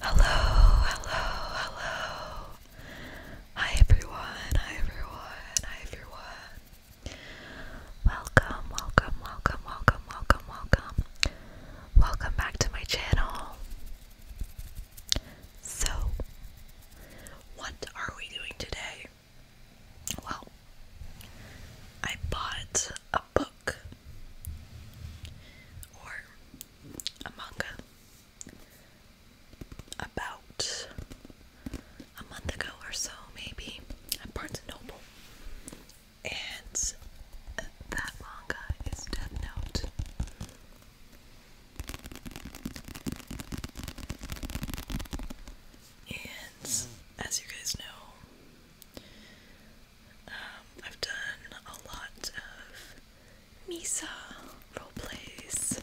Hello, hello, hello. Hi everyone, hi everyone, hi everyone. Welcome, welcome, welcome, welcome, welcome, welcome. Welcome back to my channel. So, what are we doing today? Well, I bought a book or a manga about a month ago or so, maybe, at Barnes & Noble. And that manga is Death Note. And as you guys know, um, I've done a lot of Misa roleplays,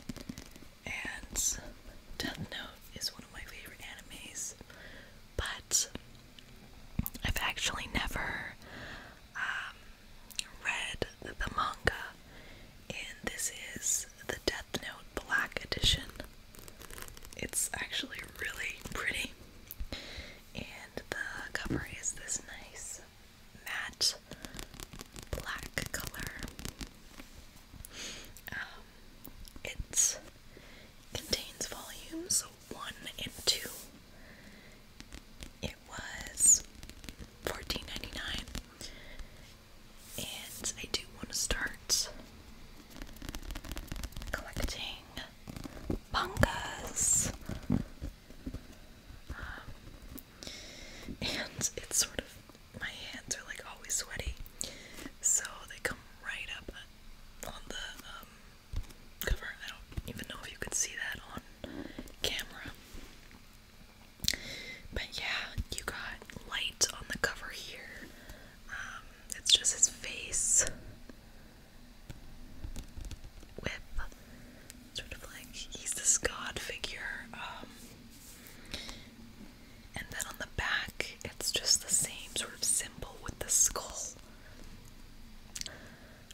and Death Note is one of my favorite animes, but I've actually never um, read the manga, and this is the Death Note Black Edition. It's actually really pretty and the cover is this nice matte black color. Um, it contains volumes one and two. It was fourteen ninety nine, and I do want to start collecting mangas. Um, and it's sort of, my hands are like always sweaty, so they come right up on the um, cover. I don't even know if you can see that on camera. But yeah, you got light on the cover here. Um, it's just his face with sort of like he's this god figure. Um, and then on the back, it's just the same sort of symbol with the skull.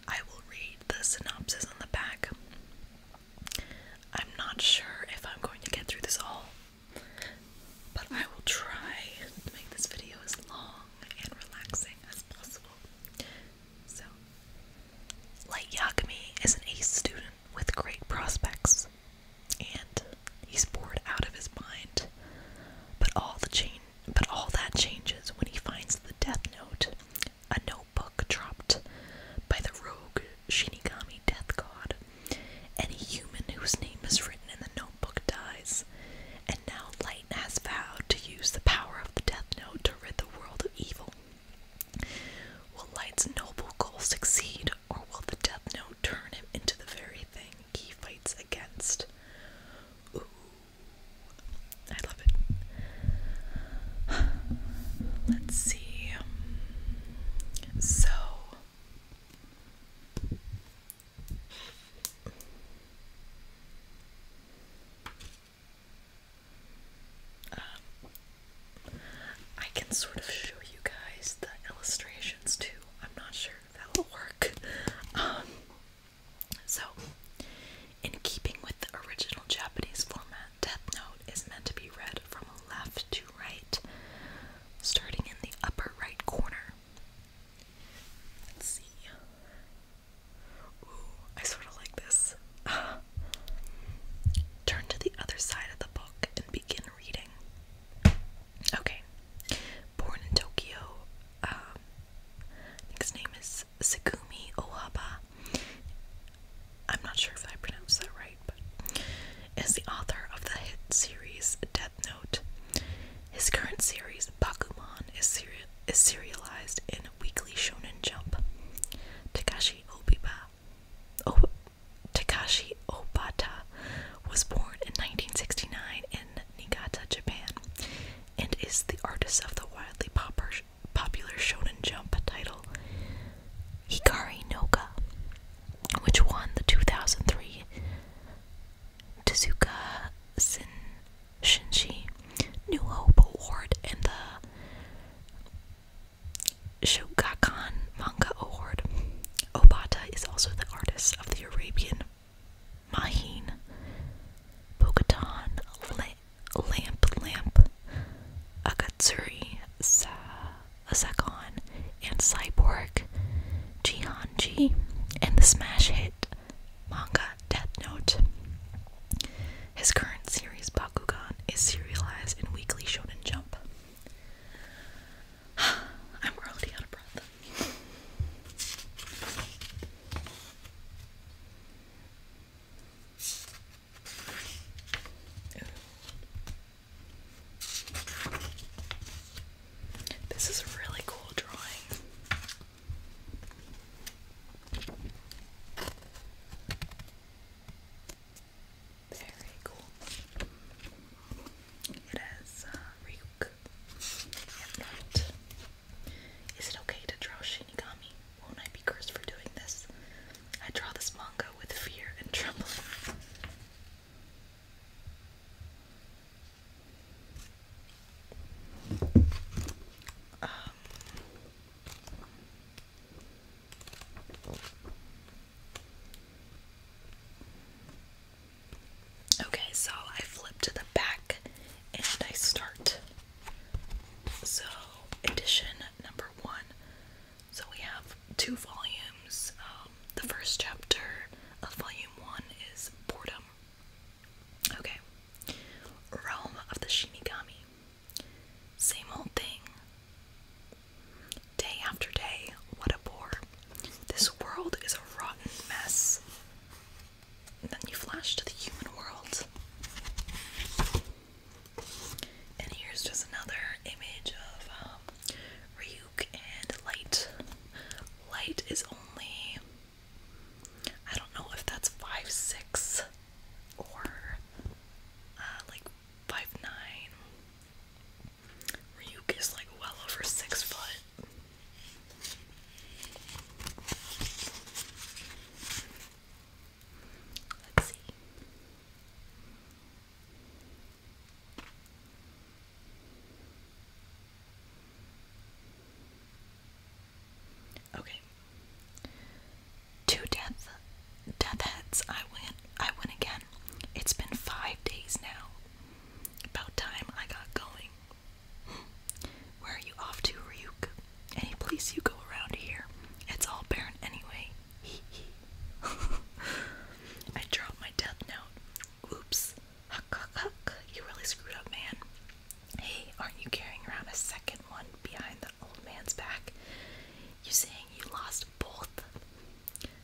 I will read the synopsis on the back. I'm not sure if I'm going to get through this all, but I will try to make this video as long and relaxing as possible. So, Light Yagami is an ace student with great prospects, and he's bored out of his mind. But all the change, but all that changes when he finds the Death Note, a notebook dropped by the rogue Shinigami Death God. Any human whose name is written in the notebook dies, and now Light has vowed to use the power of the Death Note to rid the world of evil. Will Light's noble goal succeed, or will the Death Note turn him into the very thing he fights against? Ooh. I love it. Let's see. So, um, I can sort of show you guys the illustrations too. I'm not sure if that will work. Um, so, in keeping with the original Japanese format, Death Note is meant to be read from left to right, starting in the upper right corner. Let's see. Ooh, I sort of like this. turn to the other side of the book and begin reading. Okay. Born in Tokyo, um, I think his name is Segumi Ohaba. I'm not sure if I pronounced that right, but is the author of the hit series Note. His current series, Bakuman, is, serialized in Weekly Shonen Jump. Takashi Obiba, o Takashi Obata was born in 1969 in Nikata, Japan, and is the artist of the wildly popular Shonen Jump title Hikari no Ka, which won the 2003 Tezuka Sin Shinji New Hope Award and the Shogakukan Manga Award. Obata is also the artist of the Arabian Mahin, Bogotan, Lamp Lamp, Akatsuri, Sa Sakon, and Cyborg, Jihanji, and the smash hit manga Death Note. His current series, Bakugan, is serialized in Weekly Shonen Jump. I'm already out of breath. This is a really cool drawing. Very cool. It has uh, and Not. Is it okay to draw Shinigami? Won't I be cursed for doing this? I draw this manga with fear and trembling. Um, okay, so I flip to the back and I start. So, edition number one. So, we have two volumes. Um, the first chapter of volume one is Boredom Okay. Realm of the Shinigami. Same old thing. Day after day, what a bore. This world is a rotten mess. And then you flash to the human world. And here's just another image of um, and Light. Light is only I don't know if that's five six or uh, like five nine. Ryuk is like well over six foot. Let's see. Okay. Two death death I win. I win again. It's been five days now. About time I got going. Where are you off to, Ryuk? Any place you go around here. It's all barren anyway. Hee I dropped my death note. Oops. Huck, huck, You really screwed up, man. Hey, aren't you carrying around a second one behind the old man's back? You saying you lost both?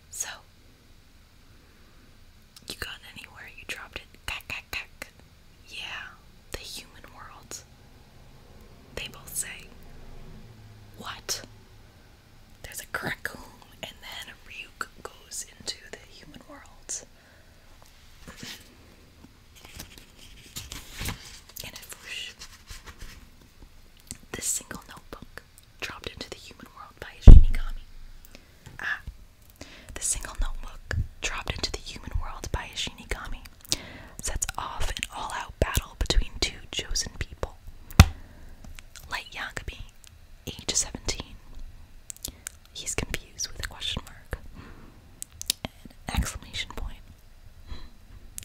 So, you got anywhere, you dropped it. Yeah, the human world. They both say, What? There's a crackle and then Ryuk goes into the human world. and it whoosh. single notebook dropped into the human world by a ah, The single notebook dropped into the human world by a sets off an all out battle between two chosen people. Light Yagabi age 17. He's confused with a question mark, exclamation point,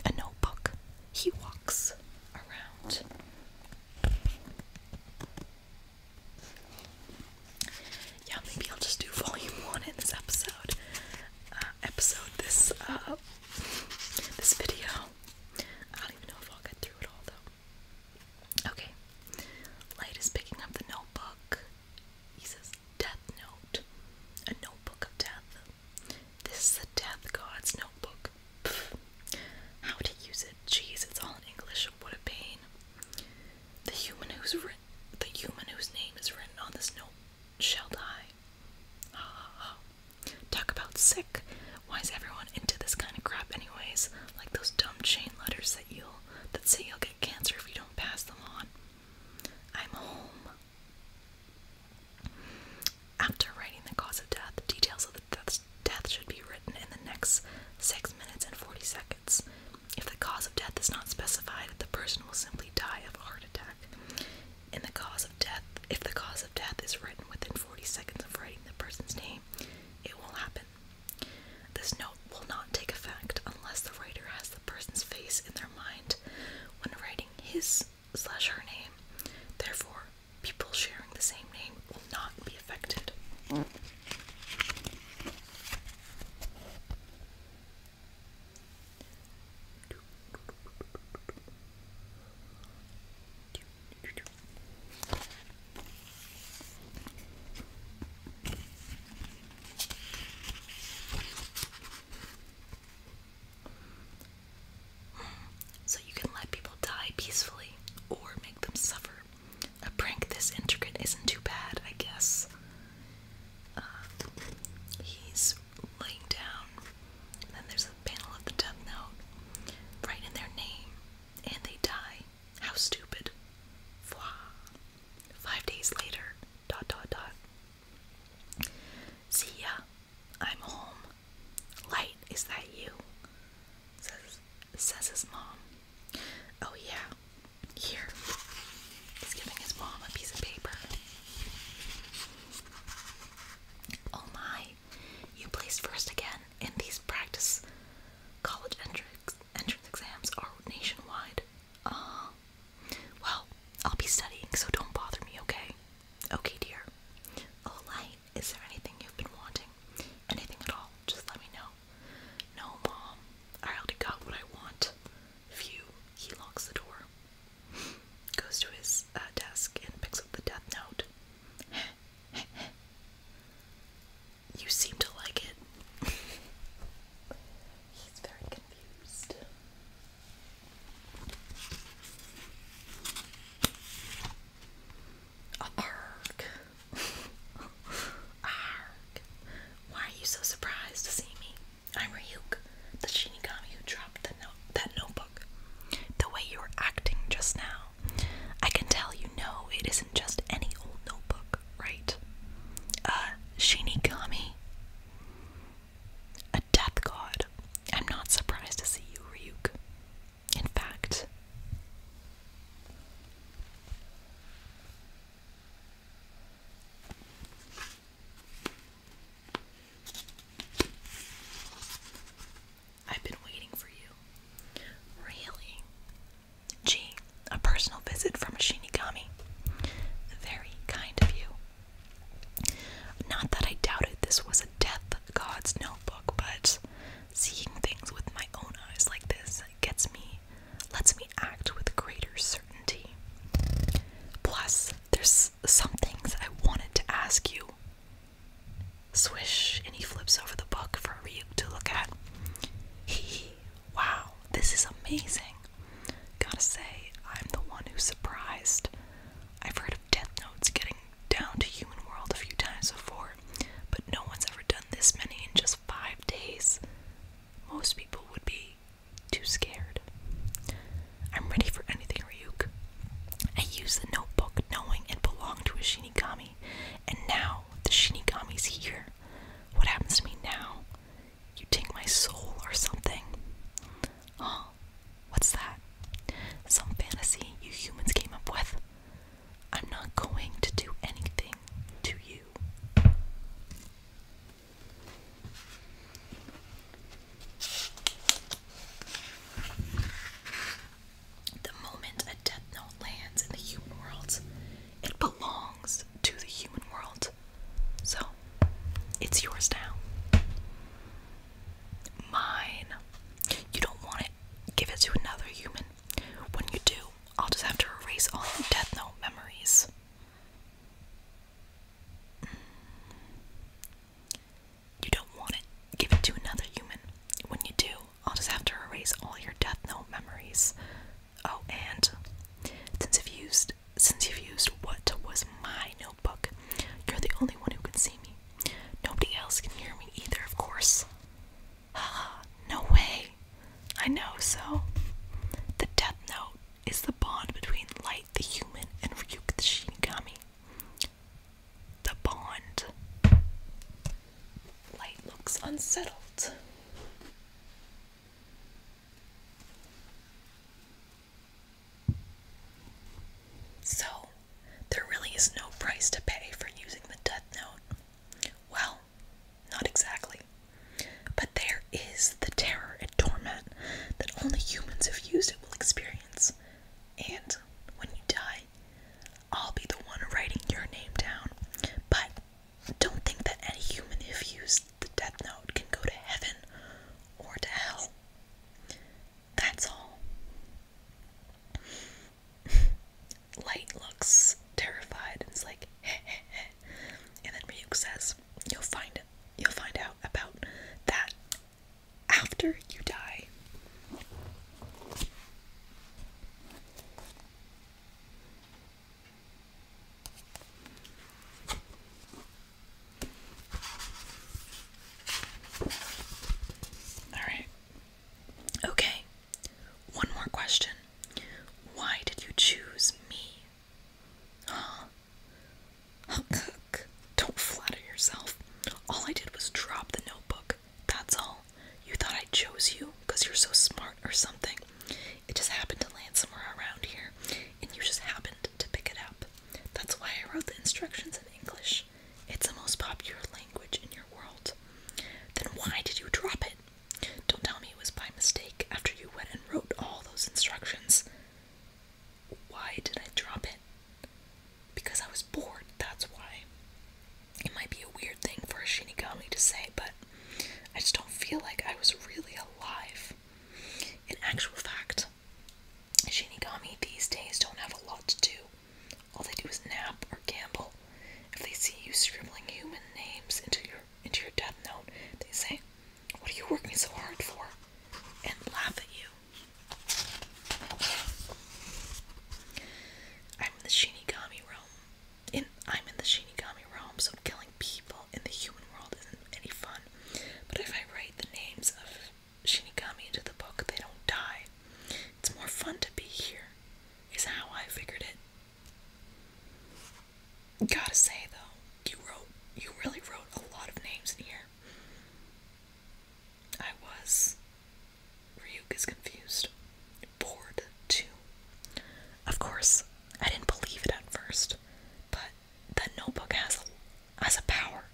a notebook. He walks around. Yeah, maybe I'll just do volume one in this episode. Uh, episode this uh, this video. I don't even know if I'll get through it all though. Okay. Light is picking up the notebook. He says, Death Note. A notebook of death. This is the Death God's notebook. How to use it? Jeez, it's all in English. What a pain. The human who's the human whose name is written on this note shall die. Ah, talk about sick. Why is everyone into this kind of crap anyways? Like those dumb chain letters that you'll that say you'll get cancer if you don't pass them on. I'm home. After writing the cause of death, details of the death, should be written in the next 6 minutes and 40 seconds. If the cause of death is not specified, the person will simply die of a heart attack. In the cause of death, if the cause of death is written within 40 seconds of writing the person's name, it will happen. This note will not take effect unless the writer has the person's face in their mind when writing his slash her name. Therefore, people sharing the same name will not be affected. So you can let people die peacefully or make them suffer. A prank this intricate isn't too bad, I guess. Um, he's laying down. then there's a panel of the death note. Write in their name, and they die. How stupid. Five days later, dot dot dot. See ya, I'm home. Light, is that you? Says, says his mom. Oh yeah, here. He's giving his mom a piece of paper. Oh my, you placed first again, in these practice college entrance, entrance exams are nationwide. Uh, well, I'll be studying, so don't bother me, okay? Okay, dear. Oh, is there anything you've been wanting? Anything at all? Just let me know. No, Mom. I already got what I want. Phew. He locks the door, goes to his uh, desk, and picks up the death note. You seem to like it. He's very confused. Arg. Arg. Why are you so surprised to see me? I'm Ryuk, the Shinigami who dropped the no that notebook. The way you were acting just now I can tell you no, it isn't just any old notebook, right? Uh, Shinigami. A death god. I'm not surprised to see you, Ryuk. In fact, I've been waiting for you. Really? Gee, a personal visit from a Shinigami. Very kind of you. Not that I doubted this was a death god's notebook, but seeing things with my own eyes like this gets me, lets me act with greater certainty. Plus, there's some things I wanted to ask you. Swish, and he flips over the book for Ryuk to look at. He, wow, this is amazing. Gotta say, I'm the one who's surprised. I've heard of Death Notes getting down to human world a few times before, but no one's ever done this many in just five days. Most people would be too scared. I'm ready for anything, Ryuk. I used the notebook knowing it belonged to a Shinigami, and now the Shinigami's here. What happens to me now? You take my soul or something. Oh, what's that? Some fantasy you humans came up with. I'm not going to do anything to you. The moment a death note lands in the human world, it belongs to the human world. So, it's yours now. Mine. You don't want it. Give it to another human. When you do, I'll just have to erase all the death note memories. You don't want it. Give it to another human. When you do, I'll just have to erase all your death note memories. Oh, and since you've used since you've used what was my notebook, you're the only one who can see me. Nobody else can hear me either, of course. no way. I know, so the death note is the bond between Light the human and Ryuk the Shinigami the bond. Light looks unsettled. So, there really is no price to pay for using the Death Note. Well, not exactly. But there is the terror and torment that only humans who've used it will experience. And when you die, I'll be the one writing your name down. But don't think that any human, if used the death note, can go to heaven or to hell. That's all. Light looks terrified and is like, hey, and then Ryuk says, You'll find it. You'll find out about that after you die. All right. Okay. One more question. Why did you choose me? Huh? Oh, cook. Don't flatter yourself. All I did was drop the notebook. That's all. You thought I chose you because you're so smart or something. It just happened to land somewhere around here, and you just happened to pick it up. That's why I wrote the instructions in English. It's the most popular language in your world. Then why did you drop it? Don't tell me it was by mistake after you went and wrote all those instructions. Why did I drop it? Because I was bored, that's why. It might be a weird thing for a Shinigami to say, but I just don't feel like I was really alive. In actual fact, Shinigami these days don't have a lot to do. All they do is nap or gamble. If they see you scribbling human names into your into your death note, they say, What are you working so hard for? and laugh at you. I'm in the Shinigami realm. and I'm in the Shinigami realm, so killing people in the human world isn't any fun. But if I write the names of Shinigami into the book, they don't die. It's more fun to be here, is how I figured it. Gotta say though, you wrote you really wrote a lot of names in here. I was. Ryuk is confused. Bored, too. Of course, I didn't believe it at first, but the notebook has a, has a power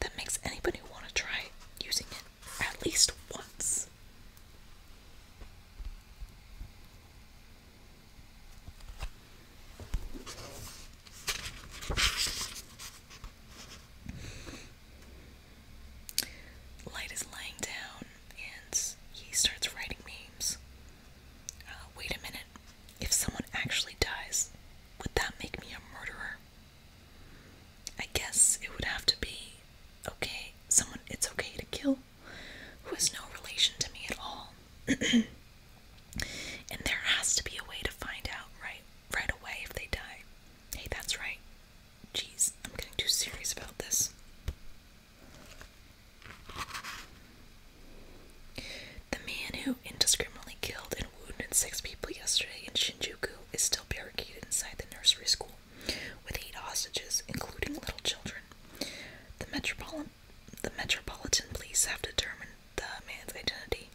that makes anybody want to try using it at least once. Light is lying down and he starts writing names. Uh, wait a minute. If someone actually dies, would that make me a murderer? I guess it would have to be okay, someone it's okay to kill who has no relation to me at all. and there has to be a way to find out, right? right away if they die. Hey, that's right. Jeez, I'm getting too serious about this. The man who indiscriminately killed and wounded six people yesterday in Shinjuku is still barricaded inside the nursery school with eight hostages, including little children. The, metropol the Metropolitan Police have determined the man's identity.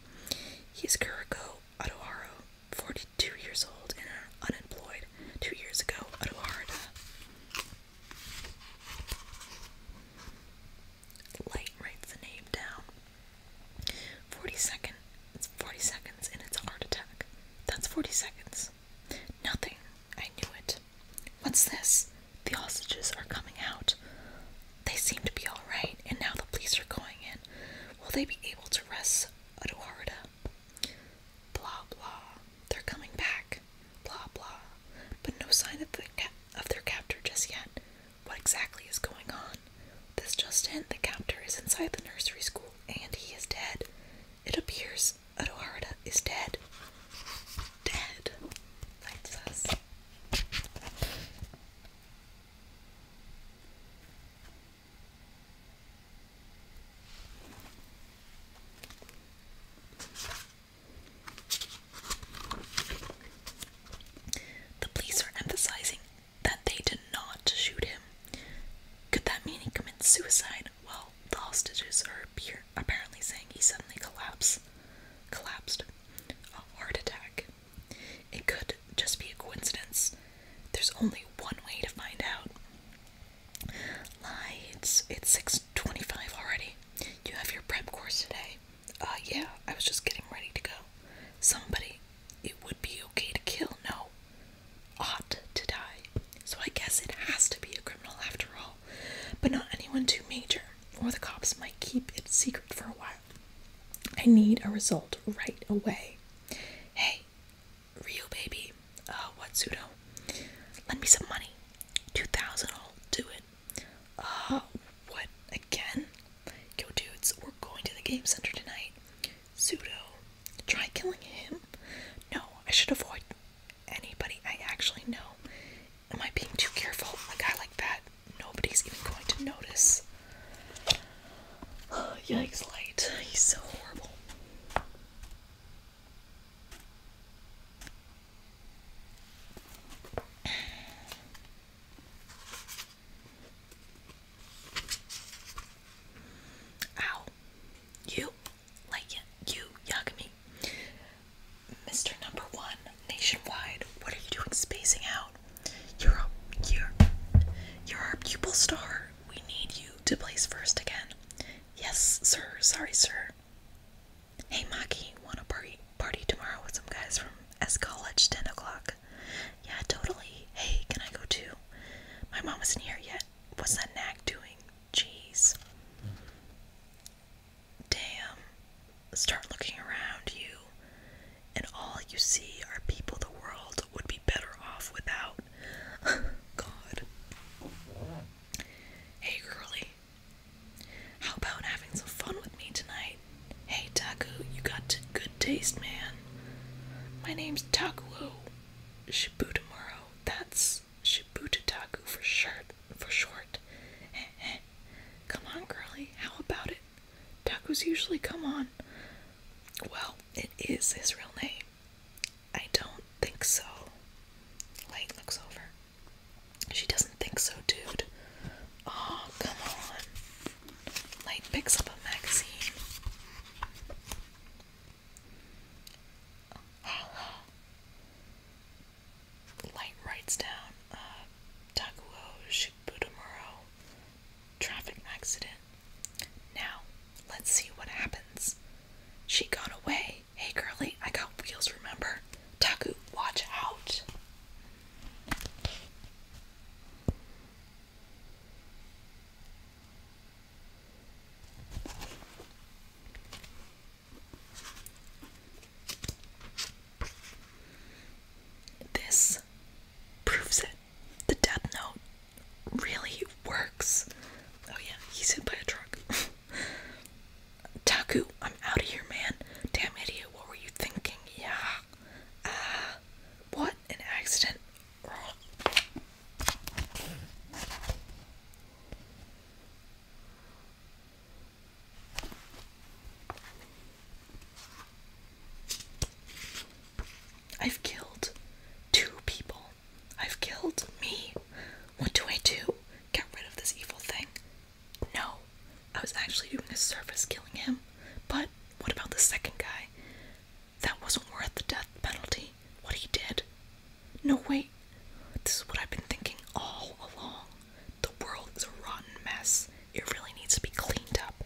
He's is Kuriko Odoharo, 42 years old and unemployed two years ago, Odohara. Light writes the name down. 40 seconds. 40 seconds and it's a heart attack. That's 40 seconds. Nothing. I knew it. What's this? The hostages are coming out. They seem to be alright, and now the police are going in. Will they be able to arrest Eduarda? Blah blah. They're coming back. Blah blah. But no sign of, the of their captor just yet. What exactly is going on? This just in, the captor is inside the nursery school and he is dead. It appears Eduarda is dead. Dead, writes us. The police are emphasizing that they did not shoot him. Could that mean he committed suicide? Well, the hostages are apparently saying he suddenly collapsed. Collapsed. A heart attack. It could just be a coincidence. There's only one way to find out. Lie, it's it's six twenty-five already. You have your prep course today. Uh yeah, I was just getting ready to go. Somebody it would be okay to kill, no. Ought to die. So I guess it has to be a criminal after all. But not anyone too major, or the cops might keep it secret for a while. I need a result right away. Hey, Ryu baby, uh, what pseudo? Lend me some money. 2000 I'll do it. Uh, what, again? Yo dudes, we're going to the game center tonight. Pseudo, try killing him. No, I should avoid anybody I actually know. Am I being too careful? A guy like that nobody's even going to notice. Oh, yikes, Light. He's so horrible. Ow. You like it. You Yagami. Mr. Number One Nationwide. What are you doing spacing out? You're You're, you're our pupil star. We need you to place first again. Yes, sir. Sorry, sir. Hey, Maki, wanna party party tomorrow with some guys from S College, ten o'clock? Yeah, totally. Hey, can I go too? My mom isn't here yet. What's that nag doing? Jeez. Damn start looking around you, and all you see are people the world would be better off without. God. Hey, girly. How about having some fun with me tonight? Hey, Taku, you got good taste, man. My name's Takuo Shibutamuro. That's Shibutataku for short. For short. Come on, girly. How about it? Tacos usually come on. Well, it is his real name. I don't think so. Light looks over. She doesn't think so, dude. Oh, come on. Light picks up a magazine. Hello. Light writes down uh, Takuo Shibutamuro traffic accident. Now, let's see what happens. She got away. Hey, girly, I got wheels, remember? Taku, watch out. This proves it. The Death Note really works. Oh, yeah, he's hit by a truck. Taku, I'm out of here, man. Damn idiot, what were you thinking? Yeah. Ah, what an accident. I've killed two people. I've killed me. What do I do? Get rid of this evil thing? No. I was actually doing a service killing him. But what about the second guy? That wasn't worth the death penalty. What he did. No, wait. This is what I've been thinking all along. The world is a rotten mess. It really needs to be cleaned up.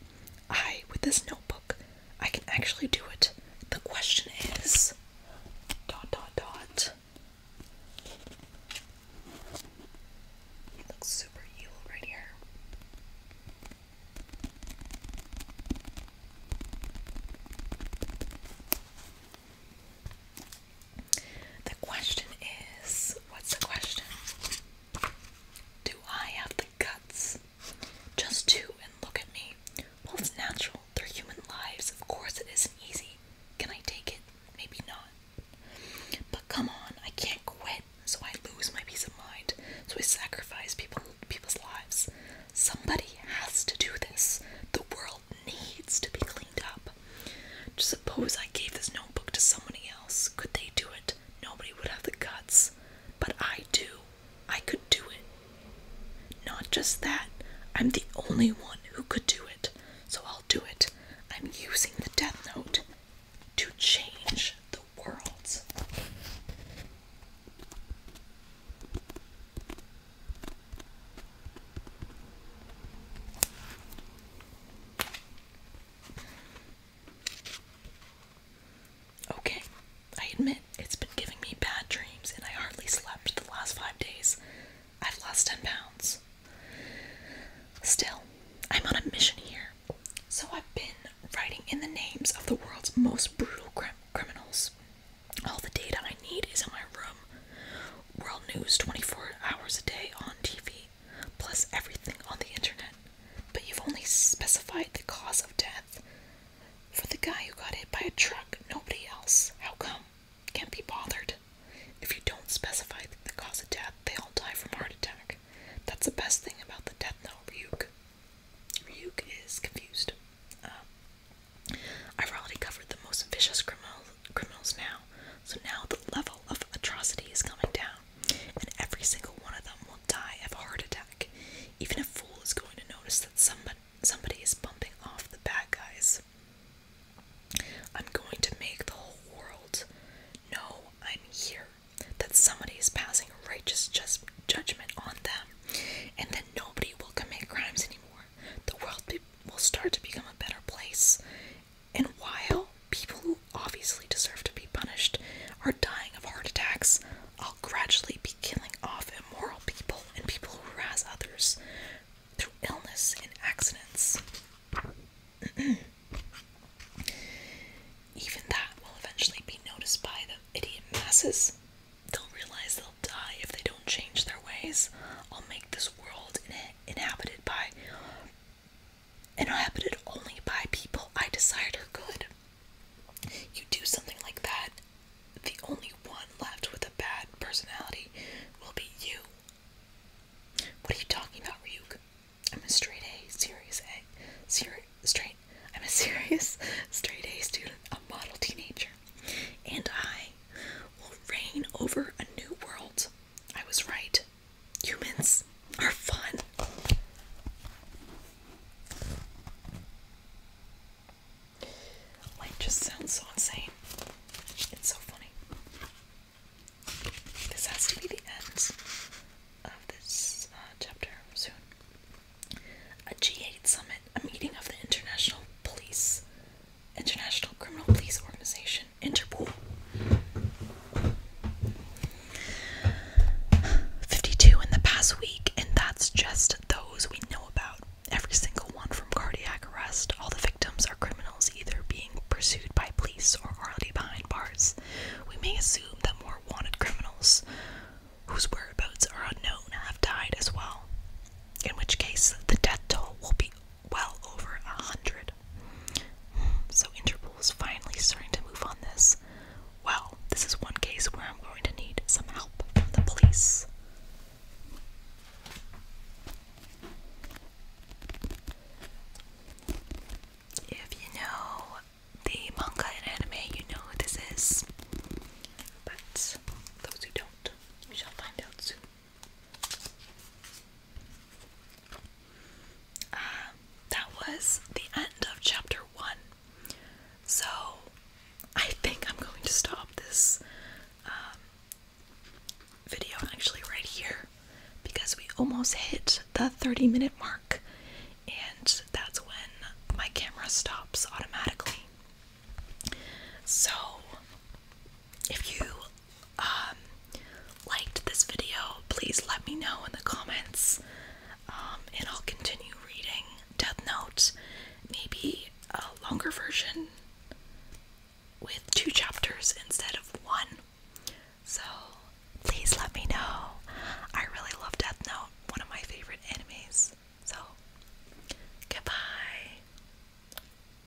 I, with this notebook, I can actually do it. The question is dot dot dot. It looks super evil right here. The question is what's the question? Do I have the guts? Just to and look at me. Well, it's natural. They're human lives. Of course, it isn't easy. Can I take it? Maybe not. But come on, I can't quit, so I lose my peace of mind. So I sacrifice people, people's lives. Somebody has to do this. The world needs to be cleaned up. Just suppose I gave this notebook to somebody else. Could they do it? Nobody would have the guts. But I do. I could do it. Not just that, I'm the only one who could do it. So I'll do it. I'm using the Death Note to change the world. Okay, I admit it's been giving me bad dreams and I hardly slept the last five days. I've lost 10 pounds. Still, I'm on a mission here. So I've been writing in the names of the world's most brutal criminals. All the data I need is in my room. World News 24 hours a day on TV plus everything on the internet, but you've only specified the cause of death. For the guy who got hit by a truck, nobody else. How come? Can't be bothered. If you don't specify the cause of death, they all die from heart attack. That's the best thing about the death note, Ryuk. Ryuk is confused. Um, I've already covered the most vicious criminals, criminals now, so now the level of atrocity is coming down, and every single one of them will die of a heart attack. Even a fool is going to notice that somebody, somebody is bumping off the bad guys. I'm going to make the whole world know I'm here, that somebody is passing a righteous judgment on them, and that nobody will commit crimes anymore. The world will start to become a better place, and while people who obviously deserve to be punished are dying of heart attacks, I'll gradually be killing off immoral people and people who harass others through illness and accidents. Even that will eventually be noticed by the idiot masses. They'll realize they'll die if they don't change their ways. I'll make this world inhabited by inhabited only by people I desired are good. You do something like that, the only one left with a bad personality will be you. What are you talking about, Ryuk? I'm a straight A, serious A, seri straight. I'm a serious straight A student, a model teenager, and I will reign over a new world. I was right. Humans are fun. Like, just sounds so insane. It's so funny. This has to be the end of this uh, chapter soon. A G8 summit, a meeting of the International Police International Criminal Police Organization, Interpol. 52 in the past week, and that's just those we know about. Every single one from cardiac arrest, all the victims are criminals either being pursued by police or already behind bars. We may assume that more wanted criminals whose whereabouts are unknown have died as well, in which case the death toll will be well over a hundred. So Interpol is finally starting to move on this. Well, this is one case where I'm going to need some help from the police. If you know the manga and anime, you know this is. But those who don't, we shall find out soon that was the end of chapter one. So I think I'm going to stop this um, video actually right here because we almost hit the 30 minute mark, and that's when my camera stops automatically. So, if you um, liked this video, please let me know in the comments. Um, and I'll continue reading Death Note, maybe a longer version with two chapters instead of one. So please let me know. I really love Death Note, one of my favorite animes. So goodbye.